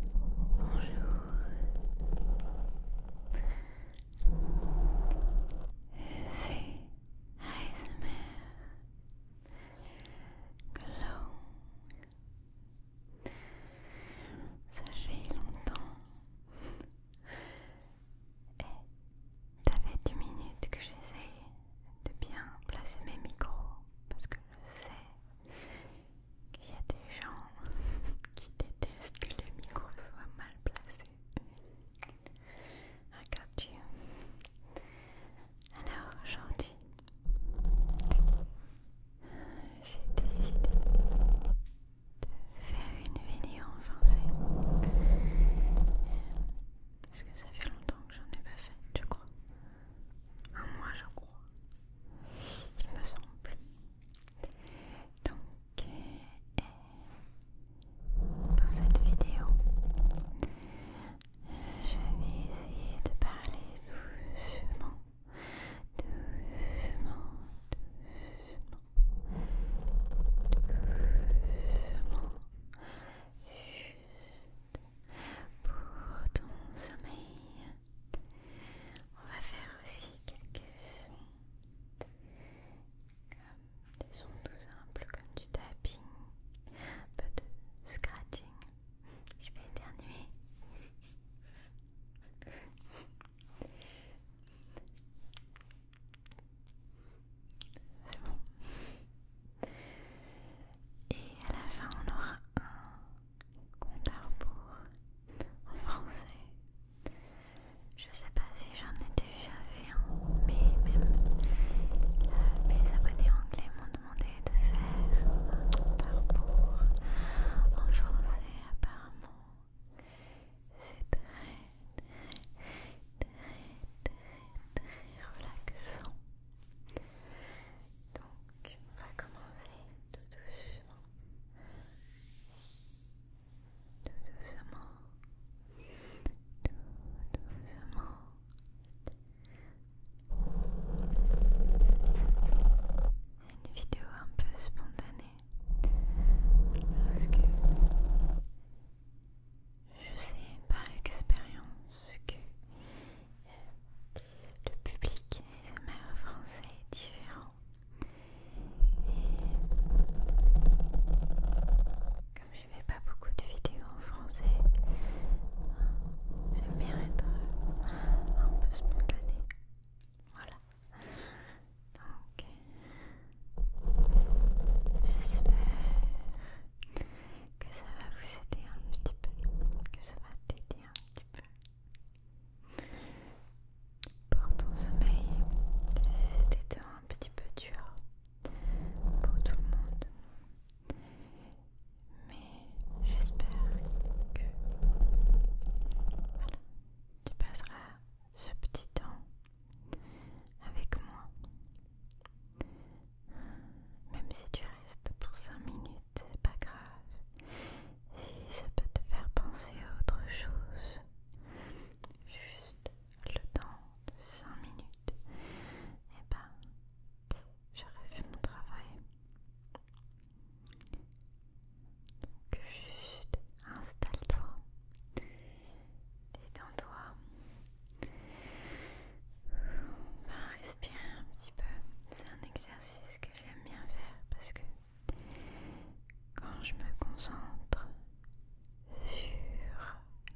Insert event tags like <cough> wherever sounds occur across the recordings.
Bonjour Glow. Ça fait longtemps. Et ça fait deux minutes que j'essaye de bien placer mes micros parce que je sais qu'il y a des gens <laughs> qui détestent que les micros soient mal placés. I got Alors aujourd'hui, j'ai décidé de faire une vidéo en français parce que ça fait longtemps que j'en ai pas fait, je crois. Moi, mois, je crois, il me semble. Donc, dans euh, cette vidéo, euh, je vais essayer de parler doucement, doucement, doucement, doucement, pour ton sommeil. On va faire aussi quelques sons, des sons tout simples, comme du tapping, un peu de scratching. Je vais éternuer. C'est bon. Et à la fin, on aura un compte à rebours en français. Je sais pas si j'en ai déjà fait un, mais même mes abonnés anglais m'ont demandé de faire un compte à rebours en français, apparemment. C'est très, très, très, très, très relaxant. Donc, on va commencer tout doucement. Tout doucement. Tout doucement. C'est une vidéo un peu spontanée parce que je sais par expérience que le public ASMR français est différent. Et comme je fais pas beaucoup de vidéos en français, j'aime bien être un peu spontané Voilà. Donc, j'espère que ça va vous aider un petit peu, que ça va t'aider un petit peu pour ton sommeil. C'était un petit peu dur pour tout le monde, mais j'espère que tu passeras ce petit temps avec moi même si tu restes pour 5 minutes, c'est pas grave. Si ça peut te faire penser à autre chose, juste le temps de 5 minutes, et eh ben, j'aurais fait mon travail. Donc juste installe-toi, détends-toi on respirer un petit peu. C'est un exercice que j'aime bien faire parce que quand je me concentre sur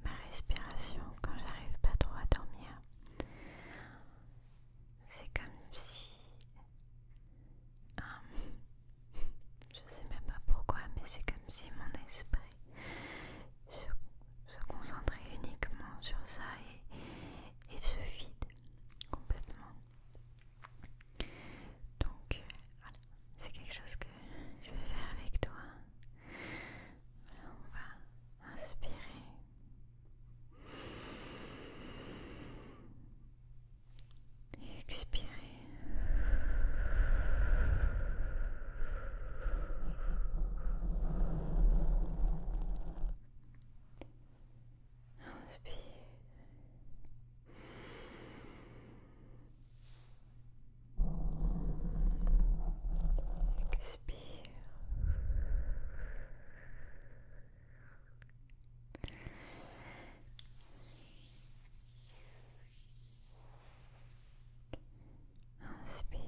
ma respiration, quand j'arrive pas trop à dormir, c'est comme si... Je <laughs> je sais même pas pourquoi, mais c'est comme si mon esprit se, concentrer uniquement sur ça et, se vide complètement. Donc voilà, c'est quelque chose que je vais faire avec toi. on va inspirer. Et expirer Inspire. Expire. Inspire. Expire.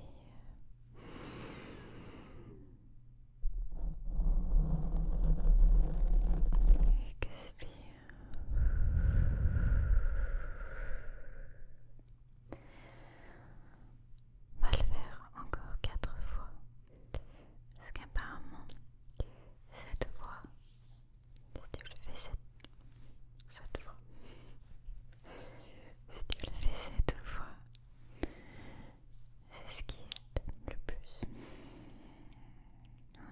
On va le faire encore quatre fois. Parce qu'apparemment, cette fois, si tu le fais cette, cette voix, si tu le fais cette fois, c'est ce qui est le plus.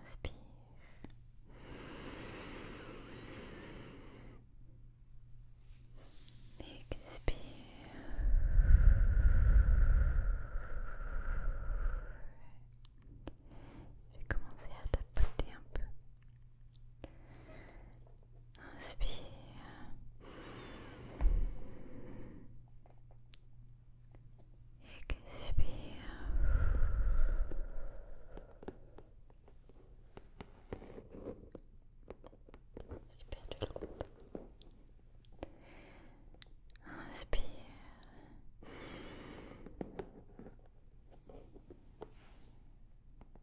Inspire. Expire. Je vais commencer à tapoter un peu Inspire. Expire. J'ai perdu le compte. Inspire. Expire.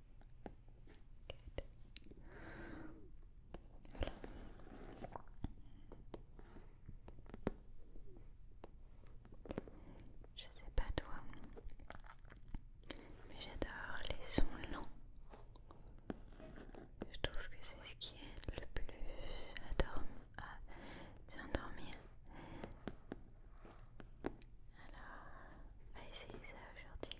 Je ne Je sais pas toi, mais j'adore les sons lents. Je trouve que c'est ce qui est le plus à dormir. Alors, on va essayer ça aujourd'hui.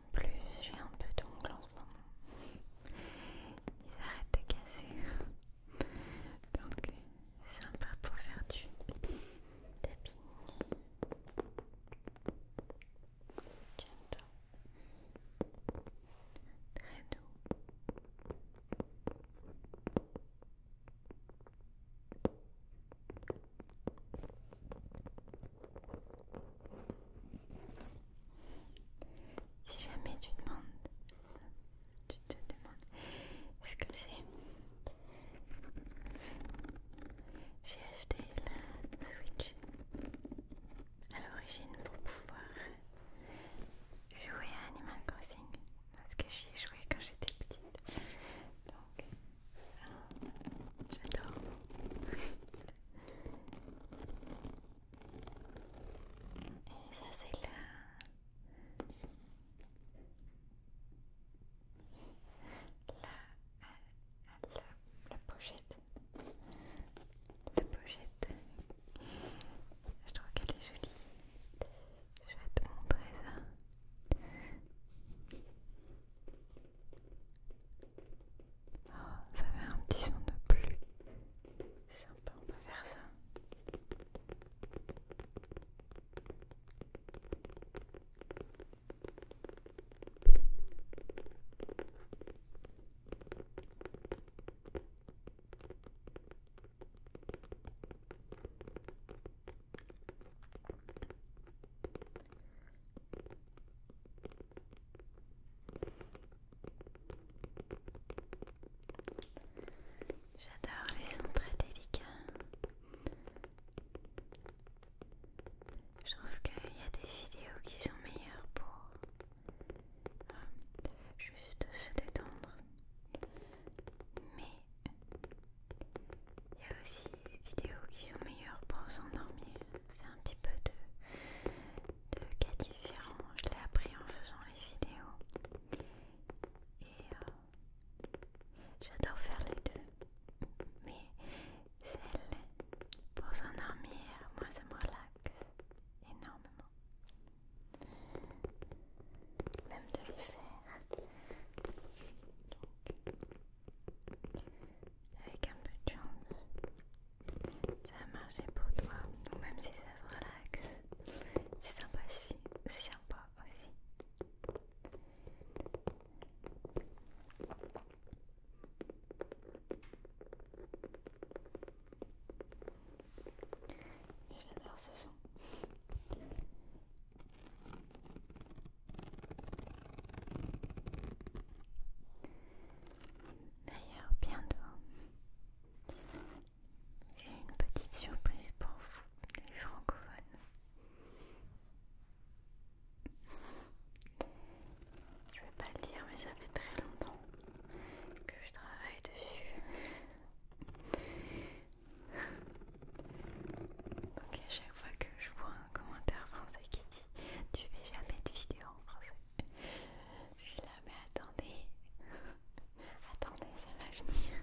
En plus, j'ai un peu d'ongles en ce moment. Ils arrêtent de casser. Donc, c'est sympa pour faire du tapis Très doux. Si jamais tu demandes, tu te demandes ce que c'est, j'ai acheté la Switch à l'origine pour pouvoir jouer à Animal Crossing parce que j'y ai joué quand j'étais petite donc euh, j'adore et ça c'est là euh, la, pochette. La pochette. Je trouve qu'elle est jolie. Je vais te montrer ça. Oh, ça fait un petit son de pluie. C'est sympa, on peut faire ça. J'adore les sons très délicats. Je trouve qu'il y a des vidéos qui sont meilleures pour euh, juste se détendre. Mais il y a aussi des vidéos qui sont meilleures pour s'endormir. C'est un petit peu de, de cas différents. Je l'ai appris en faisant les vidéos. Et euh, j'adore faire les deux mais celle pour s'endormir, moi ça me relaxe énormément. Même de les faire. avec un peu de chance, ça a marché pour toi. Donc même si ça se relaxe, c'est sympa, c'est sympa aussi. J'adore ce son. D'ailleurs, bientôt, j'ai une petite surprise pour vous, les francophones. Je vais pas le dire, mais ça fait très longtemps que je travaille dessus. Donc à chaque fois que je vois un commentaire français qui dit tu fais jamais de vidéo en français, je suis là mais attendez, attendez ça va venir.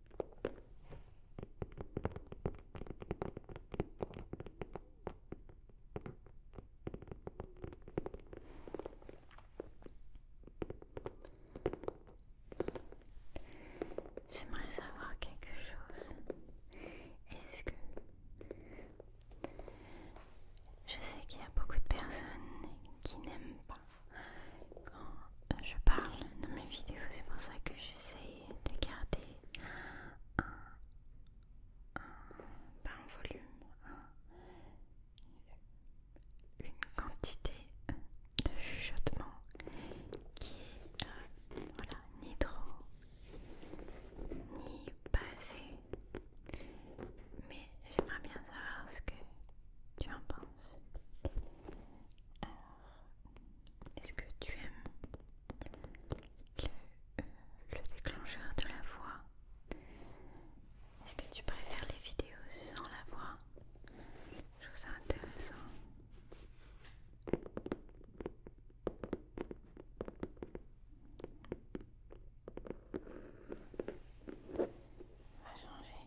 J'aimerais savoir quelque chose. Est-ce que... Je sais qu'il y a beaucoup de personnes qui n'aiment pas quand je parle dans mes vidéos, c'est pour ça que j'essaie de garder pas un volume, une quantité de chuchotement qui est voilà, ni trop ni pas assez. Mais j'aimerais bien savoir ce que tu en penses. Est-ce que tu aimes euh, le, déclencheur de la voix Est-ce que tu préfères les vidéos sans la voix Je trouve ça intéressant. va changer.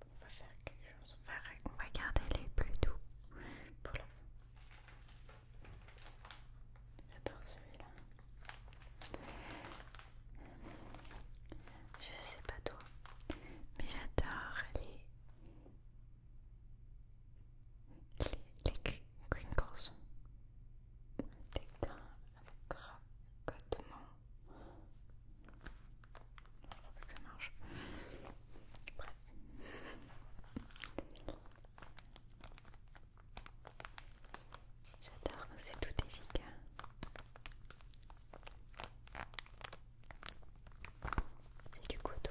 On va faire quelque chose. On va, garder les plus doux pour la fin. J'adore celui-là. Je sais pas toi, mais j'adore les, les, les, Pringles. Des grains avec cracotement. Faut que ça marche. Bref. J'adore, c'est tout efficace. C'est du coton.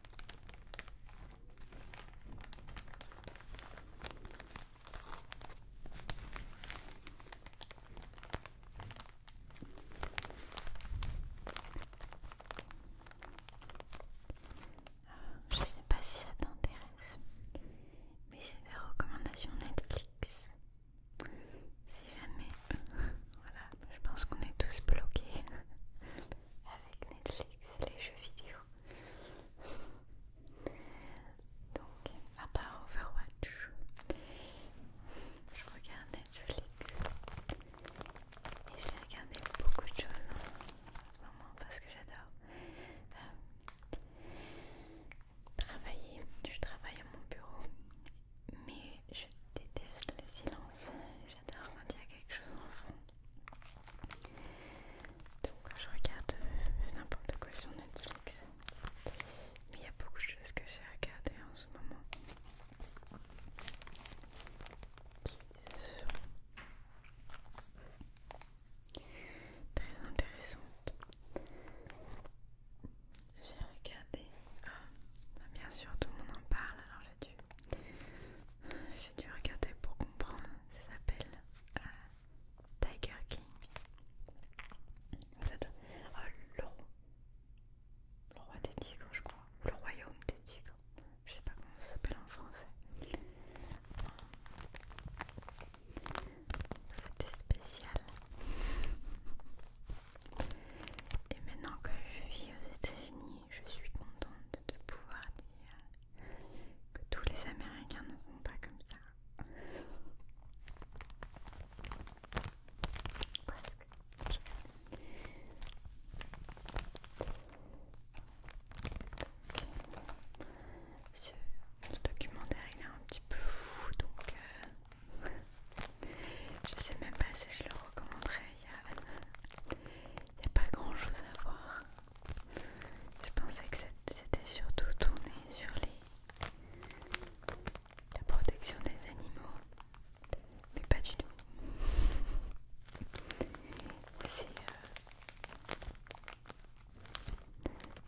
Je sais pas si ça t'intéresse, mais j'ai des recommandations Netflix. Si jamais, <laughs> voilà, je pense qu'on est tous bloqués <laughs> avec Netflix, les jeux vidéo. Donc, à part Overwatch, je regarde Netflix et j'ai regardé beaucoup de choses hein, en ce moment parce que j'adore euh, travailler. Je travaille à mon bureau, mais je déteste le silence. J'adore quand il y a quelque chose en fond. Donc je regarde euh, n'importe quoi sur Netflix. Mais il y a beaucoup de choses que j'ai regardées en ce moment qui sont très intéressantes. J'ai regardé, euh, bien sûr tout le monde en parle, alors j'ai dû, regarder pour comprendre. Ça s'appelle euh, Tiger King. Euh, le, roi. le roi des tigres, je crois. Le royaume des tigres. Je sais pas comment ça s'appelle en français. C'était spécial. Et maintenant que je vis aux États-Unis, je suis contente de pouvoir dire que tous les Américains ne font pas comme ça. Presque. Ce documentaire il est un petit peu fou donc euh, je sais même pas si je le recommanderais. Il n'y a pas grand chose à voir. Je pensais que c'était surtout tourné sur les... la protection des animaux, mais pas du tout. <laughs> C'est... Euh,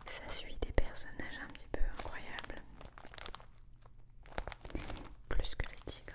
ça suit des personnages un petit peu incroyables. Plus que les tigres.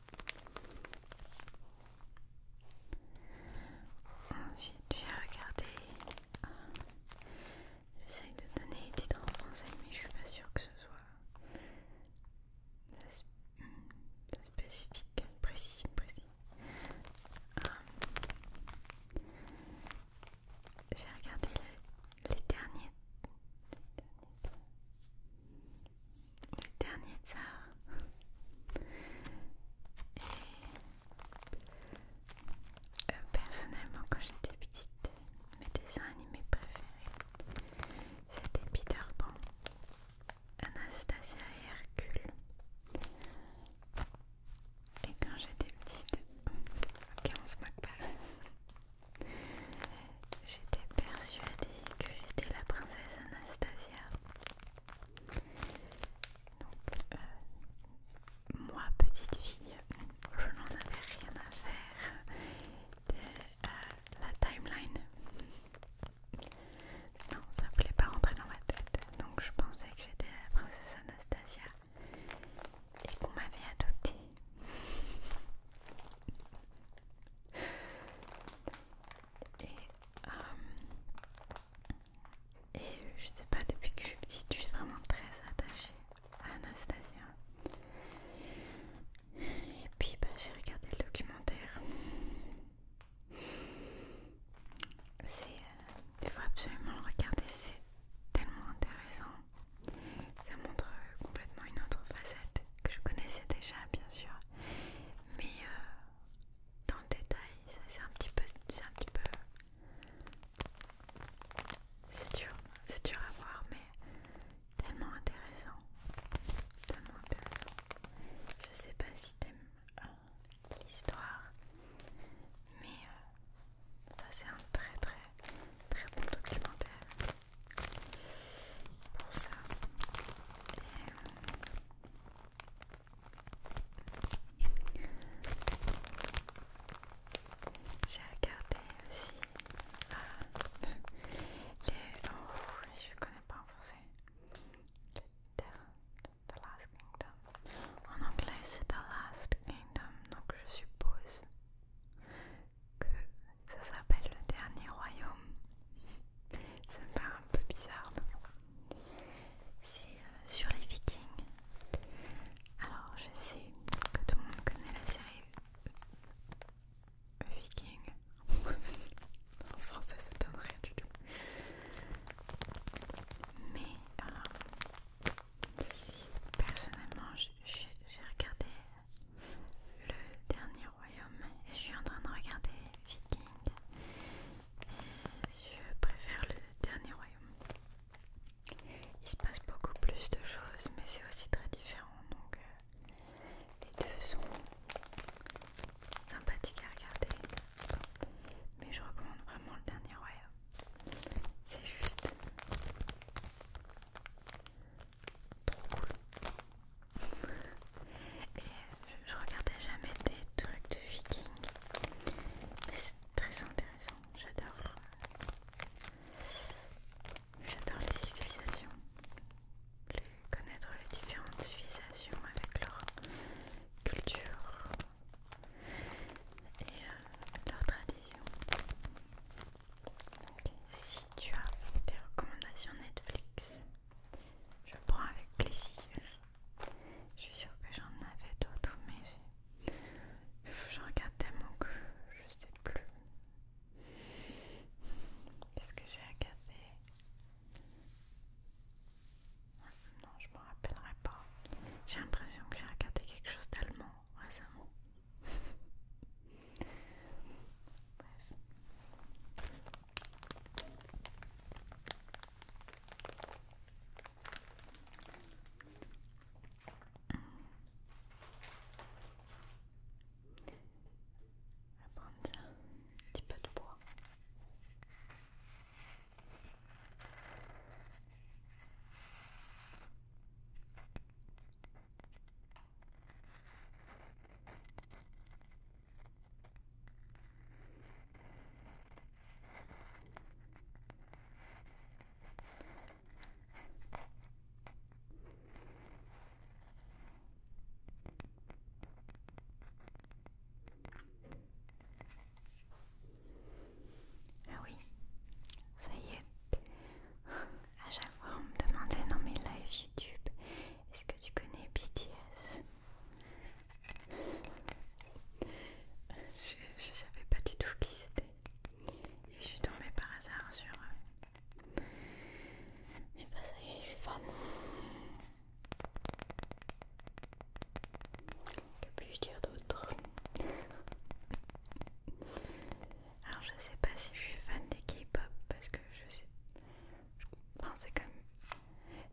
Ensuite, j'ai regardé, J'essaie de donner des titres en français, mais je suis pas sûre que ce soit hmm, spécifique, précis, précis. Euh, j'ai regardé les derniers. Les derniers le dernier tsar. Et euh, personnellement, quand j'étais petite, mes dessins animés préférés, c'était Peter Pan, Anastasia et Hercule. Et quand j'étais petite, <laughs> ok on se moque pas, J'étais persuadée que j'étais la princesse Anastasia. Donc, euh, moi, petite fille, je n'en avais rien à faire de euh, la timeline. Non, ça ne voulait pas rentrer dans ma tête. Donc, je pensais que j'étais la princesse Anastasia et qu'on m'avait adoptée. Euh, et, je sais pas, depuis que je suis petite, je suis vraiment très attachée à Anastasia. Et puis bah, j'ai regardé le documentaire. C'est, euh, il faut absolument le regarder, c'est tellement intéressant. Ça montre euh, complètement une autre facette que je connaissais déjà bien sûr, mais euh, dans le détail, c'est un petit peu, c'est un petit peu, c'est dur, c'est dur à voir, mais tellement intéressant, tellement intéressant. Je sais pas si t'aimes euh, l'histoire, mais euh, ça c'est un très très très bon documentaire ça. J'ai regardé aussi euh, <laughs> les. je connais pas en français. Last Kingdom. En anglais, c'est The Last Kingdom, donc je suppose que ça s'appelle le dernier royaume. ça me paraît un peu bizarre, mais C'est euh, sur les vikings. Alors je sais que tout le monde connaît la série Viking. <laughs> en français ça donne rien du tout. Mais alors euh, personnellement j'ai regardé le dernier royaume je suis en train de regarder Viking je préfère le dernier royaume. Il se passe beaucoup plus de choses mais c'est aussi très différent donc euh, les deux sont sympathiques à regarder mais je recommande vraiment le dernier royaume. C'est juste trop cool. Et je, regardais jamais des trucs de vikings, mais c'est très intéressant, j'adore. Euh, j'adore les civilisations, connaître les différentes civilisations avec leur culture et leurs leur tradition. Si tu as des recommandations Netflix, je prends avec plaisir. Je suis sûre que j'en avais d'autres, mais j'en regarde tellement que je sais plus. Qu'est-ce que j'ai regardé Non, je me rappellerai pas. J'ai l'impression que j'ai regardé quelque chose d'allemand récemment. Bref. On va prendre un petit peu de bois. Ah oui, ça y est à chaque fois on me demandait dans mes lives YouTube est-ce que tu connais BTS Je savais pas du tout qui c'était et je suis tombée par hasard sur eux. Mais bah ça y est, je suis fan. Que puis-je dire d'autre alors je sais pas si je suis fan des K-pop parce que je sais. Enfin, c'est comme.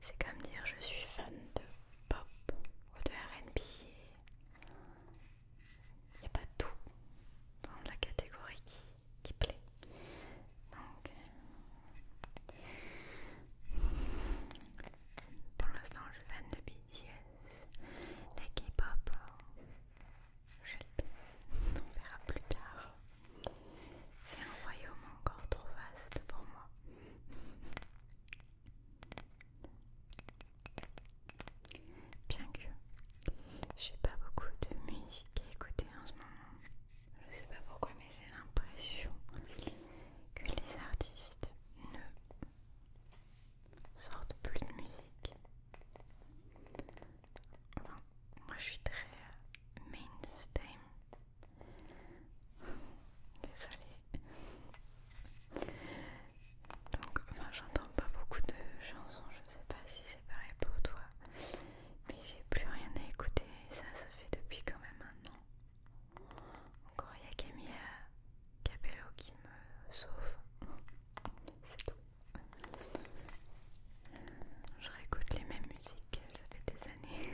C'est comme dire je suis fan de pop ou de RB. Il n'y a pas tout dans la catégorie qui, plaît. Donc. Euh, pour l'instant, je suis fan de BTS. les K-pop, on verra plus tard. C'est un royaume encore trop vaste pour moi. Bien que j'ai pas beaucoup de musique à écouter en ce moment, je sais pas pourquoi, mais j'ai l'impression que les artistes ne sortent plus de musique moi je suis très euh, mainstream. <laughs> Désolée. Donc, enfin, j'entends pas beaucoup de chansons, je sais pas si c'est pareil pour toi. Mais j'ai plus rien à écouter ça, ça fait depuis quand même un an. Encore, il y a Camilla Capello qui me sauve. <laughs> C'est tout. Je réécoute les mêmes musiques, ça fait des années.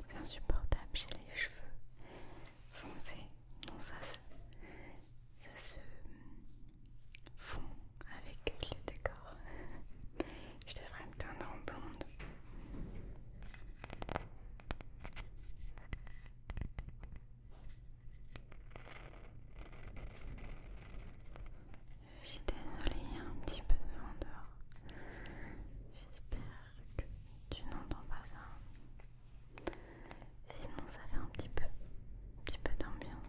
C'est insupportable, j'ai les cheveux foncés. Non, ça se, fond avec le décor. Je devrais me teindre en blonde. Je suis désolée, un petit peu de vent dehors. J'espère que tu n'entends pas ça. Sinon, ça fait un petit peu, un petit peu d'ambiance.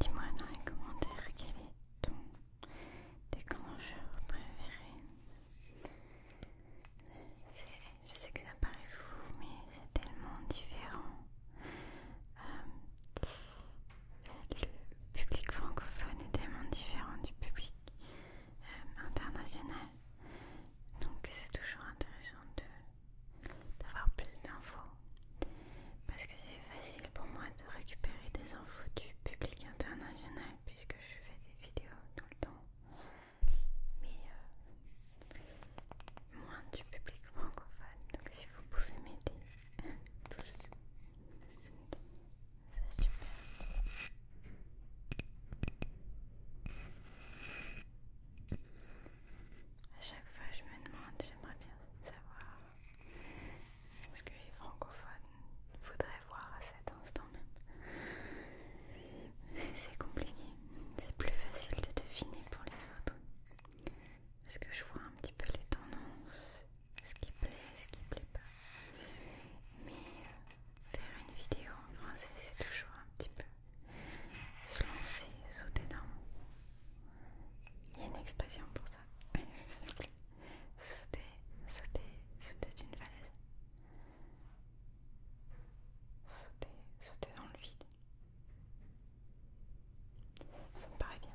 Dis-moi dans les commentaires quel est ton déclencheur préféré. Je sais que ça paraît fou, mais c'est tellement différent. Euh, le public francophone est tellement différent du public euh, international. Donc c'est toujours intéressant d'avoir plus d'infos. Parce que c'est facile pour moi de récupérer des infos du public international puisque je fais des vidéos tout le temps. Mais euh, moins du public francophone. Donc si vous pouvez m'aider <laughs> tous. C'est super. À chaque fois, je me demande, j'aimerais bien savoir ce que les francophones voudraient voir à cet instant même. C'est compliqué, c'est plus facile de deviner pour les autres. Parce que je vois un petit peu les tendances, ce qui plaît, ce qui plaît pas. Mais euh, faire une vidéo en français, c'est toujours un petit peu se lancer, sauter dans. Il y a une expression pour ça, je sais plus. Sauter, sauter, sauter d'une falaise. Sauter, sauter dans le vide. Ça me paraît bien.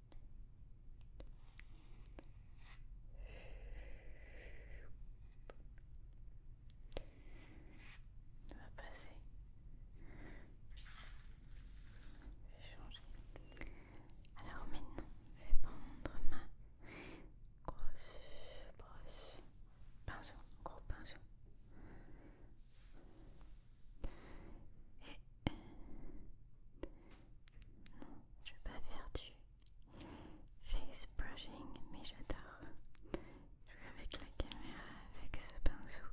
On va passer. Je vais changer. Alors maintenant, je vais prendre ma grosse brosse. Pinceau, gros pinceau. Et je vais pas faire du face brushing, mais j'adore jouer avec la caméra avec ce pinceau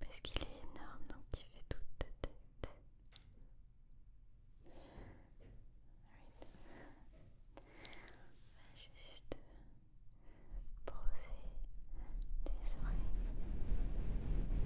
parce qu'il est énorme donc il fait toute ta tête. On juste brosser des oreilles.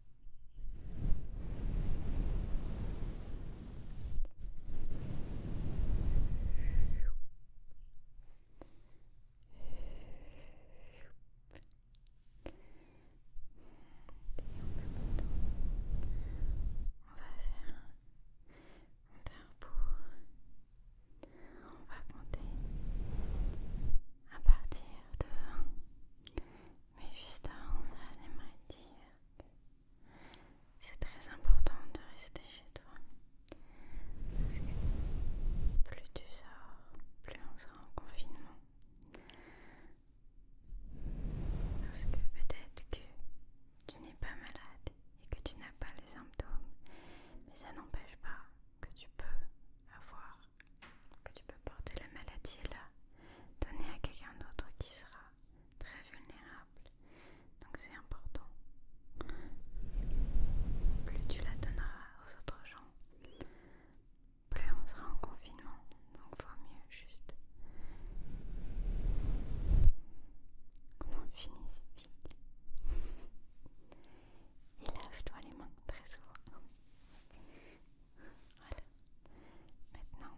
On va faire un repos, on va compter à partir de mais juste avant ça, j'aimerais dire. C'est très important de rester chez toi. Parce que plus tu sors, plus on sera en confinement. Parce que peut-être que tu n'es pas malade et que tu n'as pas les symptômes, mais ça n'empêche pas que tu peux avoir, que tu peux porter la maladie là, donner à quelqu'un d'autre qui sera très vulnérable. Donc c'est important. Plus tu la donneras aux autres gens, plus on sera en confinement. Donc vaut mieux juste qu'on finisse vite. Et lave-toi les mains très souvent. Voilà. Maintenant,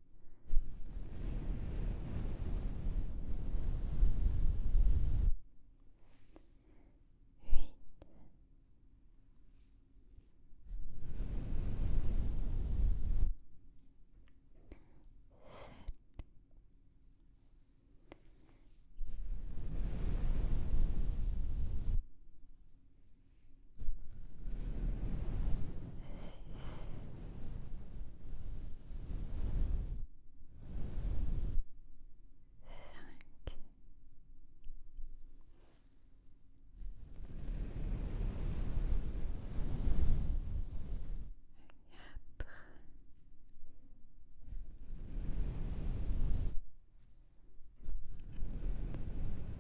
8 7 4